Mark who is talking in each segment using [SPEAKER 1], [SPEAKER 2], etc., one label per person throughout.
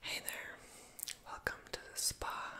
[SPEAKER 1] Hey there, welcome to the spa.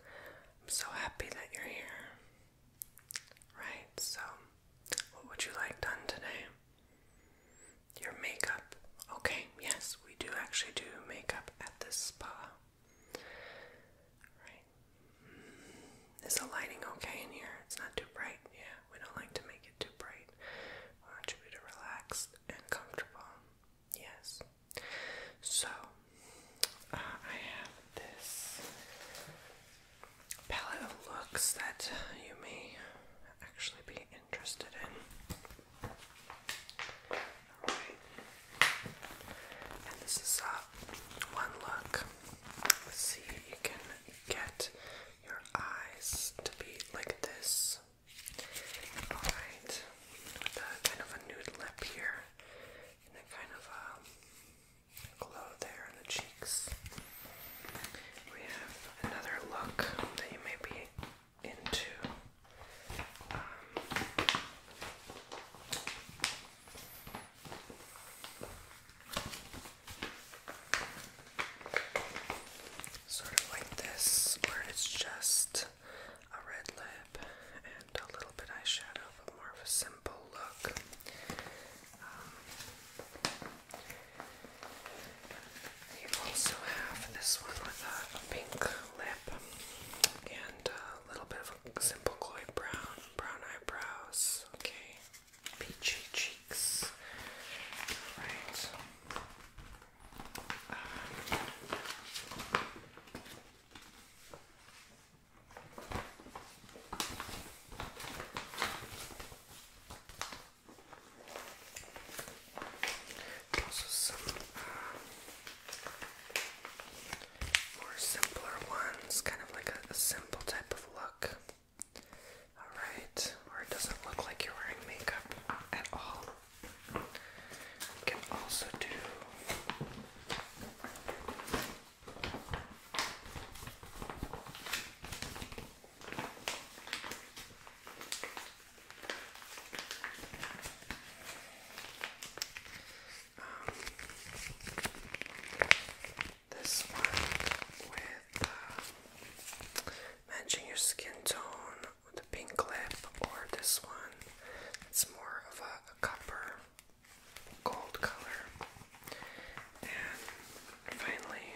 [SPEAKER 1] I'm so happy that you're here. Right, so what would you like done today? Your makeup. Okay, yes, we do actually do makeup at this spa. Right. Mm, is the lighting okay in here? It's not too bright. Yeah, we don't like to make it too bright. We want you to be and comfortable. Yes. So uh, I have this palette of looks that you may actually be interested in. And this is uh, one look. see, you can get your eyes to be like this. Alright, with a kind of a nude lip here, and a kind of a um, glow there in the cheeks. We have another look that you may be into sort of like this, where it's just a red lip and a little bit eyeshadow, but more of a simple look. Um, also have this one with a, pink lip and a little bit of simple glowy brown, brown eyebrows, okay, peachy cheeks. Alright. And also uh, more simpler ones, kind of like a simple type of look. Alright, where it doesn't look like you're wearing makeup at all. can also do um, this one with uh, matching your skin tone with a pink lip or this one. It's more of a, copper gold color. And finally,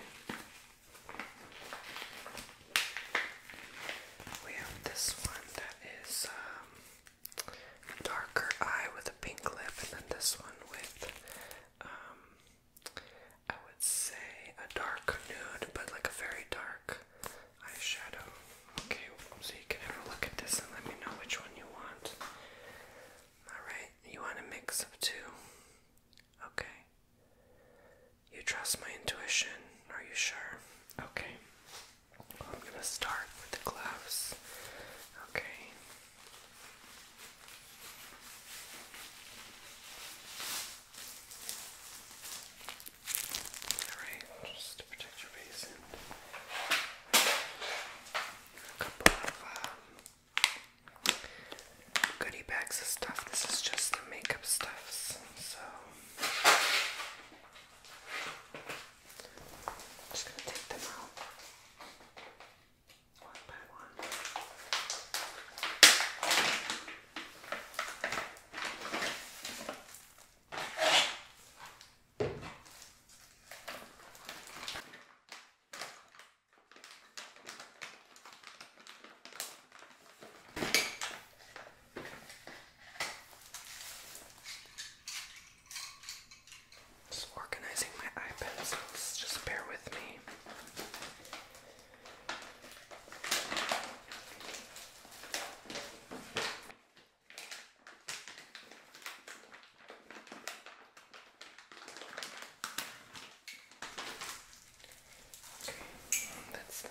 [SPEAKER 1] we have this one that is um, darker eye with a pink lip, and then this one with um, I would say a dark nude, but like a very dark eyeshadow. Okay, so you can have a look at this and let me know which one you want. Alright, you want a mix of two? Okay. You trust my intuition, are you sure? Okay. I'm gonna start with the gloves. Okay. Alright, just to protect your face a couple of um, goodie bags of stuff. This is just the makeup stuffs, so I'm just gonna take them out one by one. Just organizing my eye pencils, just bear with me that's that.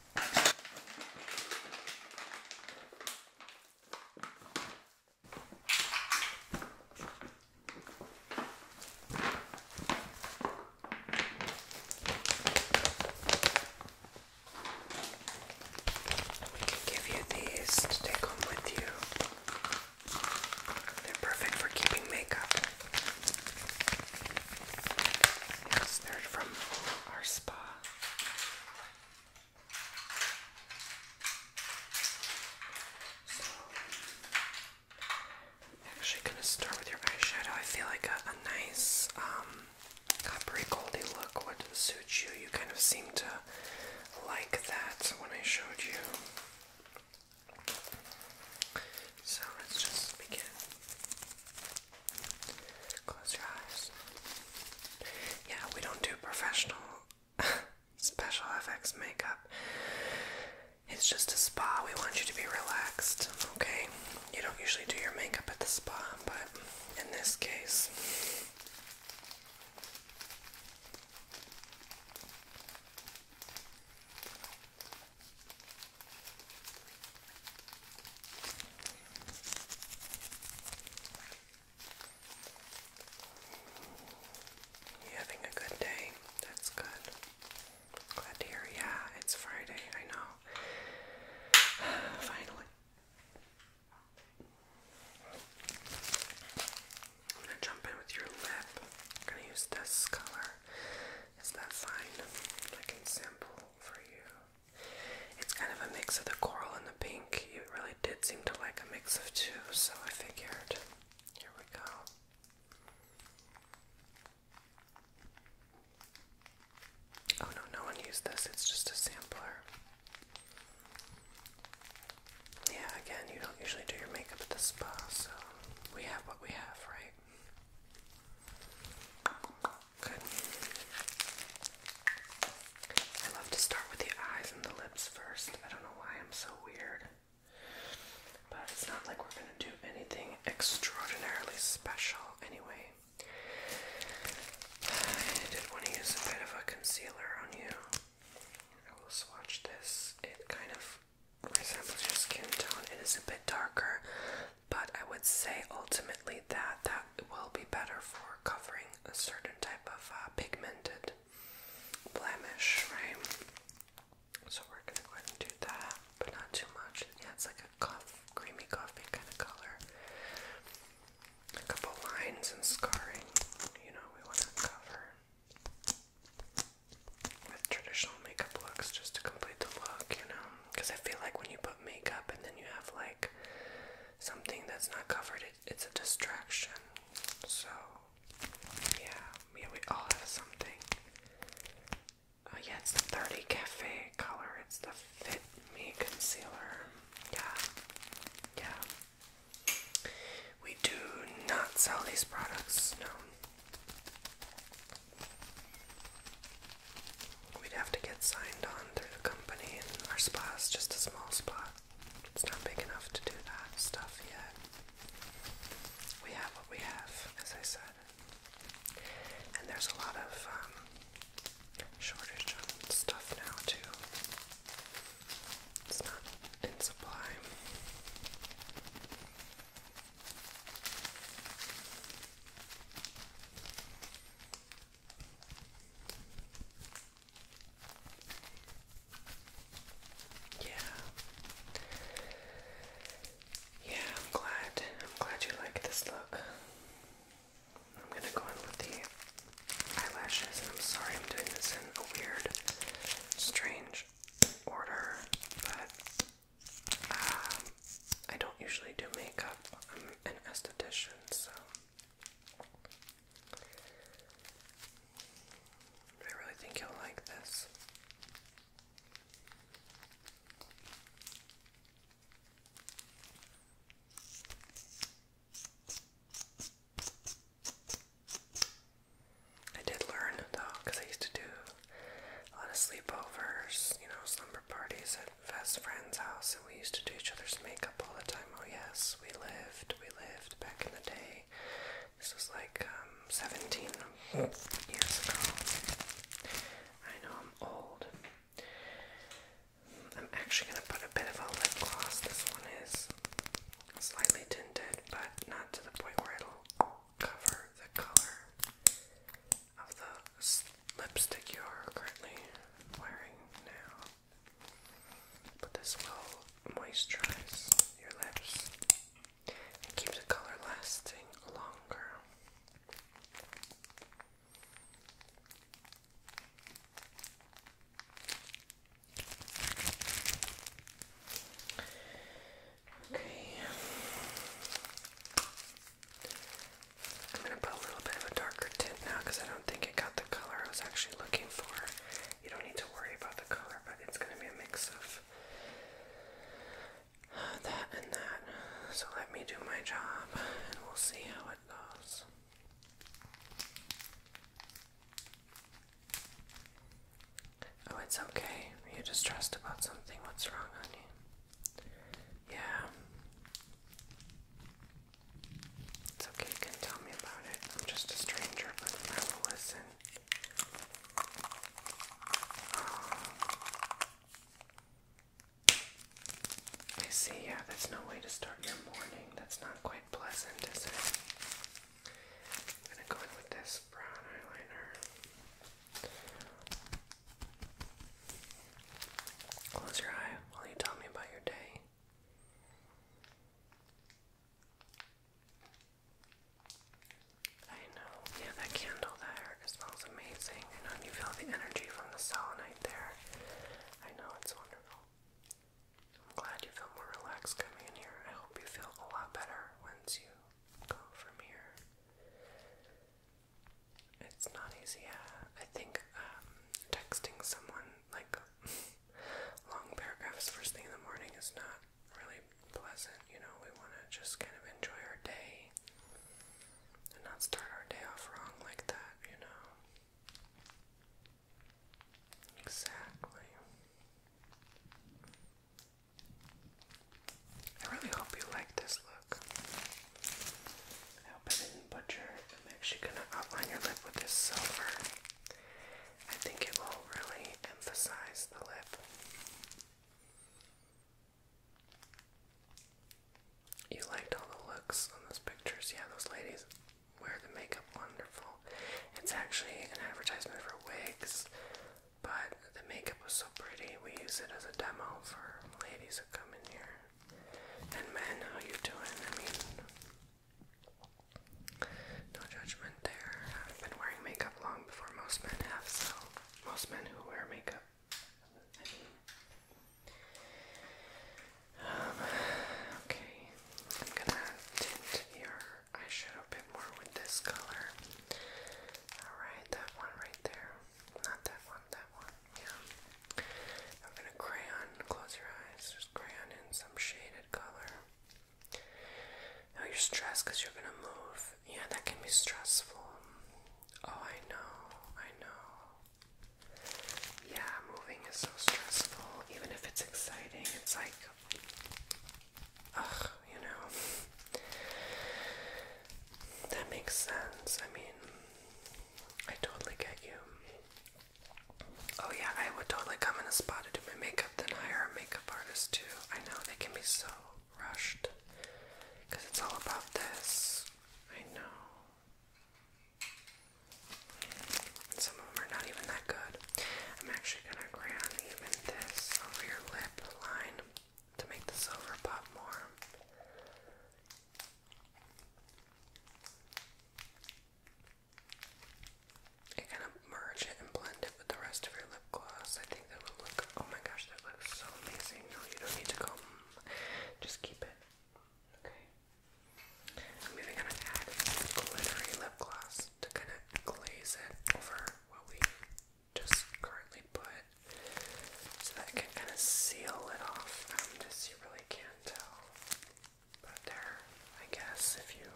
[SPEAKER 1] We can give you these to take home with you. They're perfect for keeping makeup. they're from our spa i actually going to start with your eyeshadow. I feel like a, nice um, coppery goldy look would suit you. You kind of seem to like that when I showed you. So let's just begin. Close your eyes. Yeah, we don't do professional special effects makeup. It's just a spa. We want you to be relaxed, okay? You don't usually do your makeup at the spa, but in this case, having a good day? That's good. Glad to hear. Yeah, it's Friday. I know. Finally. I'm gonna jump in with your lip. I'm gonna use this color. Is that fine? I can for you. It's kind of a mix of the coral and the pink. You really did seem to like a mix of two, so I figured. Here we go. Oh no, no one used this, it's just a sampler. Yeah, again, you don't usually do your makeup at the spa, so we have what we have, right? Good. I love to start with the eyes and the lips first. I don't know why I'm so weird. But it's not like we're gonna do anything extraordinarily special anyway. I did want to use a bit of a concealer on you. I will swatch this. It kind of resembles skin tone. It is a bit darker but I would say ultimately that that will be better for covering a certain type of uh, pigmented blemish, right? So we're gonna go ahead and do that, but not too much. Yeah, it's like a creamy coffee kind of color. A couple lines and scarring, you know, we want to cover with traditional makeup looks just to complete the look, you know because I feel like when you put makeup and then you have like something that's not covered, it's a distraction. So, yeah, yeah, we all have something. Oh, yeah, it's the 30 Cafe color, it's the Fit Me Concealer. Yeah, yeah. We do not sell these products, no. We'd have to get signed on through the company, and our spa is just a small spot. It's not big enough to do that stuff yet. We have what we have, as I said. And there's a lot of um, shortage on stuff now, too. It's not in supply. Yeah. Yeah, I'm glad. I'm glad you like this look. I'm gonna go in with the eyelashes, I'm sorry I'm doing this in a weird, strange order, but um, I don't usually do makeup. I'm an esthetician, so I really think you'll like this. I did learn though, because I used to do a lot of sleepovers, you know, slumber parties best friend's house, and we used to do each other's makeup all the time. Oh, yes, we lived, we lived back in the day. This was like um, 17 years ago. I know I'm old. I'm actually going to put a bit of a lip gloss. This one is slightly tinted, but not to the point where it'll cover the color of the lipstick you are currently wearing now. But this will moisturize your lips and keep the color lasting longer. Okay. I'm gonna put a little bit of a darker tint now because I don't think it got the color I was actually looking for. You don't need to worry about the color, but it's gonna be a mix of uh, that and that. So let me do my job and we'll see how it goes. Oh, it's okay. You're distressed about something. What's wrong on yeah. It's okay, you can tell me about it. I'm just a stranger, but I will listen. I see, yeah, that's no way to start your morning. That's not quite pleasant, I'm gonna go in with this brown eyeliner. Close your eye while you tell me about your day. I know. Yeah, that candle there smells amazing. I know you feel the energy from the selenite there. I know it's wonderful. I'm glad you feel more relaxed coming in here. I hope you feel a lot better once you go from here. It's not easy. Uh, I think um, texting someone like long paragraphs first thing in the morning is not really pleasant. You know, we want to just kind of enjoy our day and not start our day off wrong like that. You know. Exactly. I really hope you like this look. I hope I didn't butcher. I'm actually going to outline your lip with this silver. I think it will really emphasize the lip. You liked all the looks on those pictures. Yeah, those ladies wear the makeup wonderful. It's actually an advertisement for wigs, but the makeup was so pretty. We use it as a demo for ladies who come in here. And men, how you doing? I mean, no judgment there. I've been wearing makeup long before most men have, so most men who wear makeup. um, okay, I'm gonna tint your eyeshadow a bit more with this color. Alright, that one right there. Not that one, that one. Yeah. I'm gonna crayon, close your eyes, just crayon in some shaded color. Now you're stressed because you're gonna move. Yeah, that can be stressful. Oh, I know, I know. Yeah, moving is so stressful. Even if it's exciting, it's like, ugh, you know. That makes sense. I mean, I totally get you. Oh yeah, I would totally come in a spot to do my makeup, then hire a makeup artist too. I know they can be so rushed because it's all about this. I know. Some of them are not even that good. I'm actually gonna crayon even this over your lip line to make the silver pop more. And kind of merge it and blend it with the rest of your lip gloss. I think that will look, oh my gosh, that looks so amazing. No, you don't need to comb, mm, just keep it. Okay. I'm even gonna add glittery lip gloss to kind of glaze it over what we just currently put so that it can kind of seal it off um, this. You really can't tell, but there, I guess, if you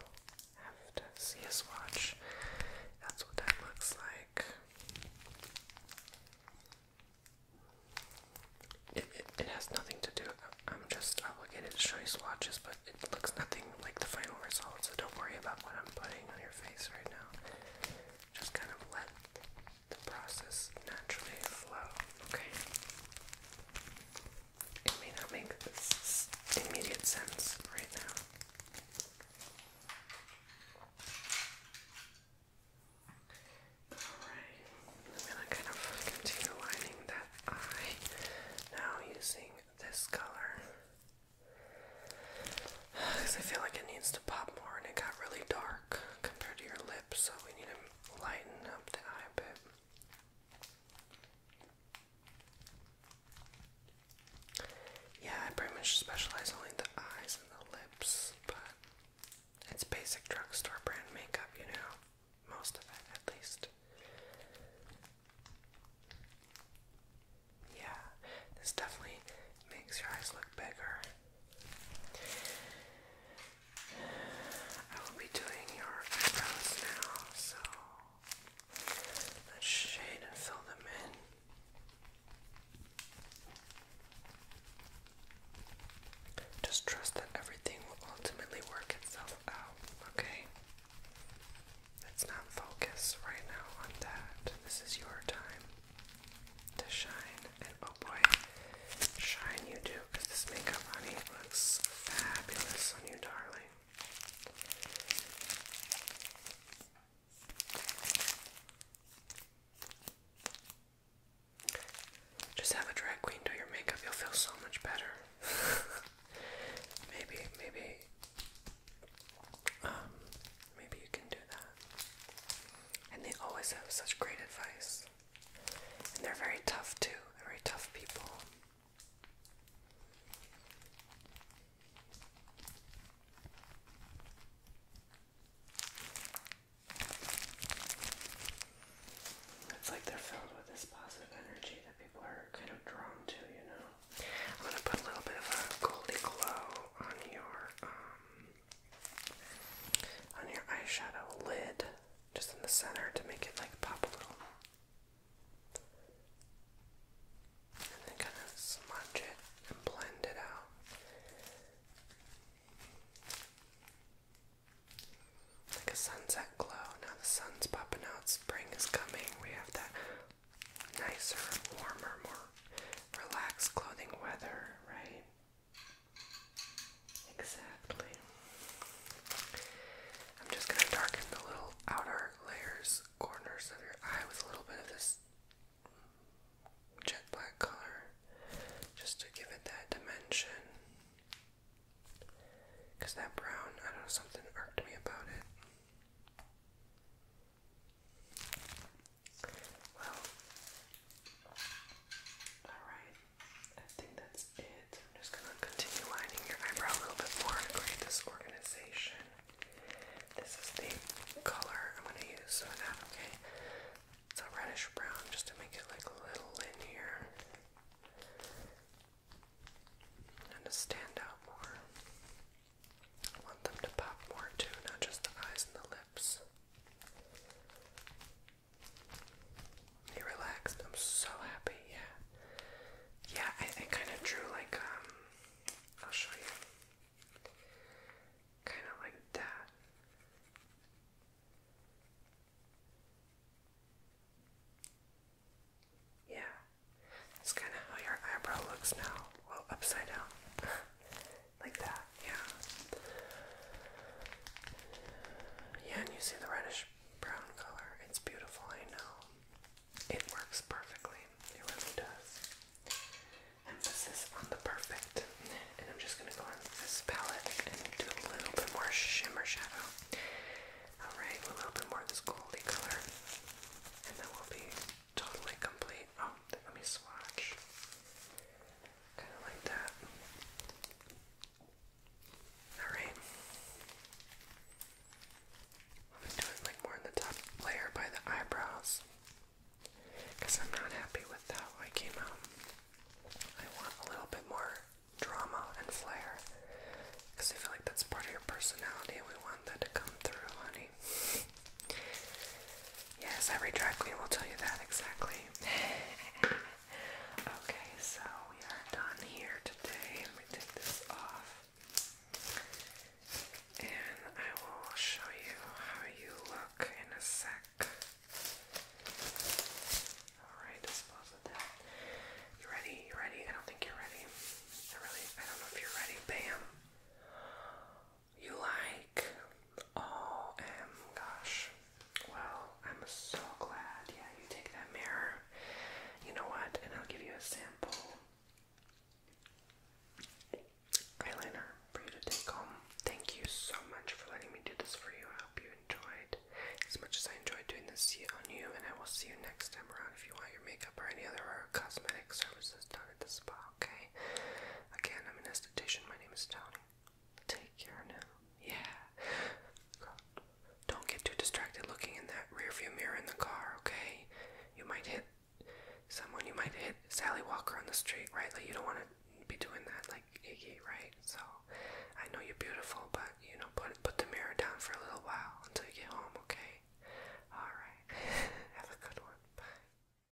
[SPEAKER 1] have to see a swatch, that's what that looks like. it, it has nothing to do, I'm just obligated to show you swatches, but it looks nothing like the final result, so don't worry about what I'm putting on your face right now. Just kind of let the process naturally flow, okay? It may not make this immediate sense right now. Alright, I'm gonna kind of continue lining that eye now using this color. Because I feel like it needs to pop more and it got really dark compared to your lips, so we need to lighten up the eye bit. Yeah, I pretty much specialize only the eyes and the lips, but it's basic drugstore brand makeup, you know, most of it at least. Yeah, this definitely makes your eyes look bigger. I will be doing your eyebrows now, so let's shade and fill them in. Just trust that everything will ultimately work itself out, okay? Let's not focus right now on that. This is your time to shine. And oh boy, shine you do, because this makeup, honey, looks fabulous on you, darling. Just have a drag queen do your makeup, you'll feel so much better. maybe, maybe, um, maybe you can do that. And they always have such great advice. And they're very tough too, they're very tough people. It's like they're filled with this positive energy that people are kind of drawn to, you know. I'm gonna put a little bit of a goldy glow on your um, on your eyeshadow lid, just in the center to make it like pop a little. And then kind of smudge it and blend it out. Like a sunset glow. Now the sun's popping out, spring is coming. We have that nicer, warmer, more relaxed clothing weather, right? Exactly. I'm just going to darken the little outer layers, corners of your eye with a little bit of this jet black color just to give it that dimension. Because that brown, I don't know, something irked me about it. Well, alright. I think that's it. I'm just gonna continue lining your eyebrow a little bit more to create this organization. This is the color I'm gonna use, so that okay. It's a reddish brown just to make it like a little linear and to stand out more. I want them to pop more too, not just the eyes and the lips. He relaxed. I'm so happy. Yeah. Yeah, I, I kind of drew like, um, I'll show you. Kind of like that. Yeah. That's kind of how your eyebrow looks now. Well, upside down. like that, yeah. Yeah, and you see the reddish brown color. It's beautiful, I know. It works perfectly. It really does. Emphasis on the perfect. And I'm just going to go on this palette and do a little bit more shimmer shadow. Alright, a little bit more of this goldy color. And then we'll be totally complete. Oh, let me swatch. Kind of like that. Alright. I'm doing like more in the top layer by the eyebrows. Because I'm not happy with how I came out. I want a little bit more drama and flair. Because I feel like that's part of your personality and we want that to come through, honey. Yes, every drag queen will tell you that exactly. okay, so we are done here today. Let me take this off. And I will show you how you look in a sec. Alright, dispose of that. You ready? You ready? I don't think you're ready. I really I don't know if you're ready. Bam you like. Oh, um, gosh. Well, I'm so glad. Yeah, you take that mirror. You know what? And I'll give you a sample eyeliner for you to take home. Thank you so much for letting me do this for you. I hope you enjoyed as much as I enjoyed doing this on you. And I will see you next time around if you want your makeup or any other cosmetic services done at the spa. Okay. Again, I'm an esthetician. My name is Tony. Take care now. Yeah. Don't get too distracted looking in that rearview mirror in the car, okay? You might hit someone. You might hit Sally Walker on the street, right? you don't want to be doing that like right? So, I know you're beautiful, but, you know, put, put the mirror down for a little while until you get home, okay? Alright. Have a good one. Bye.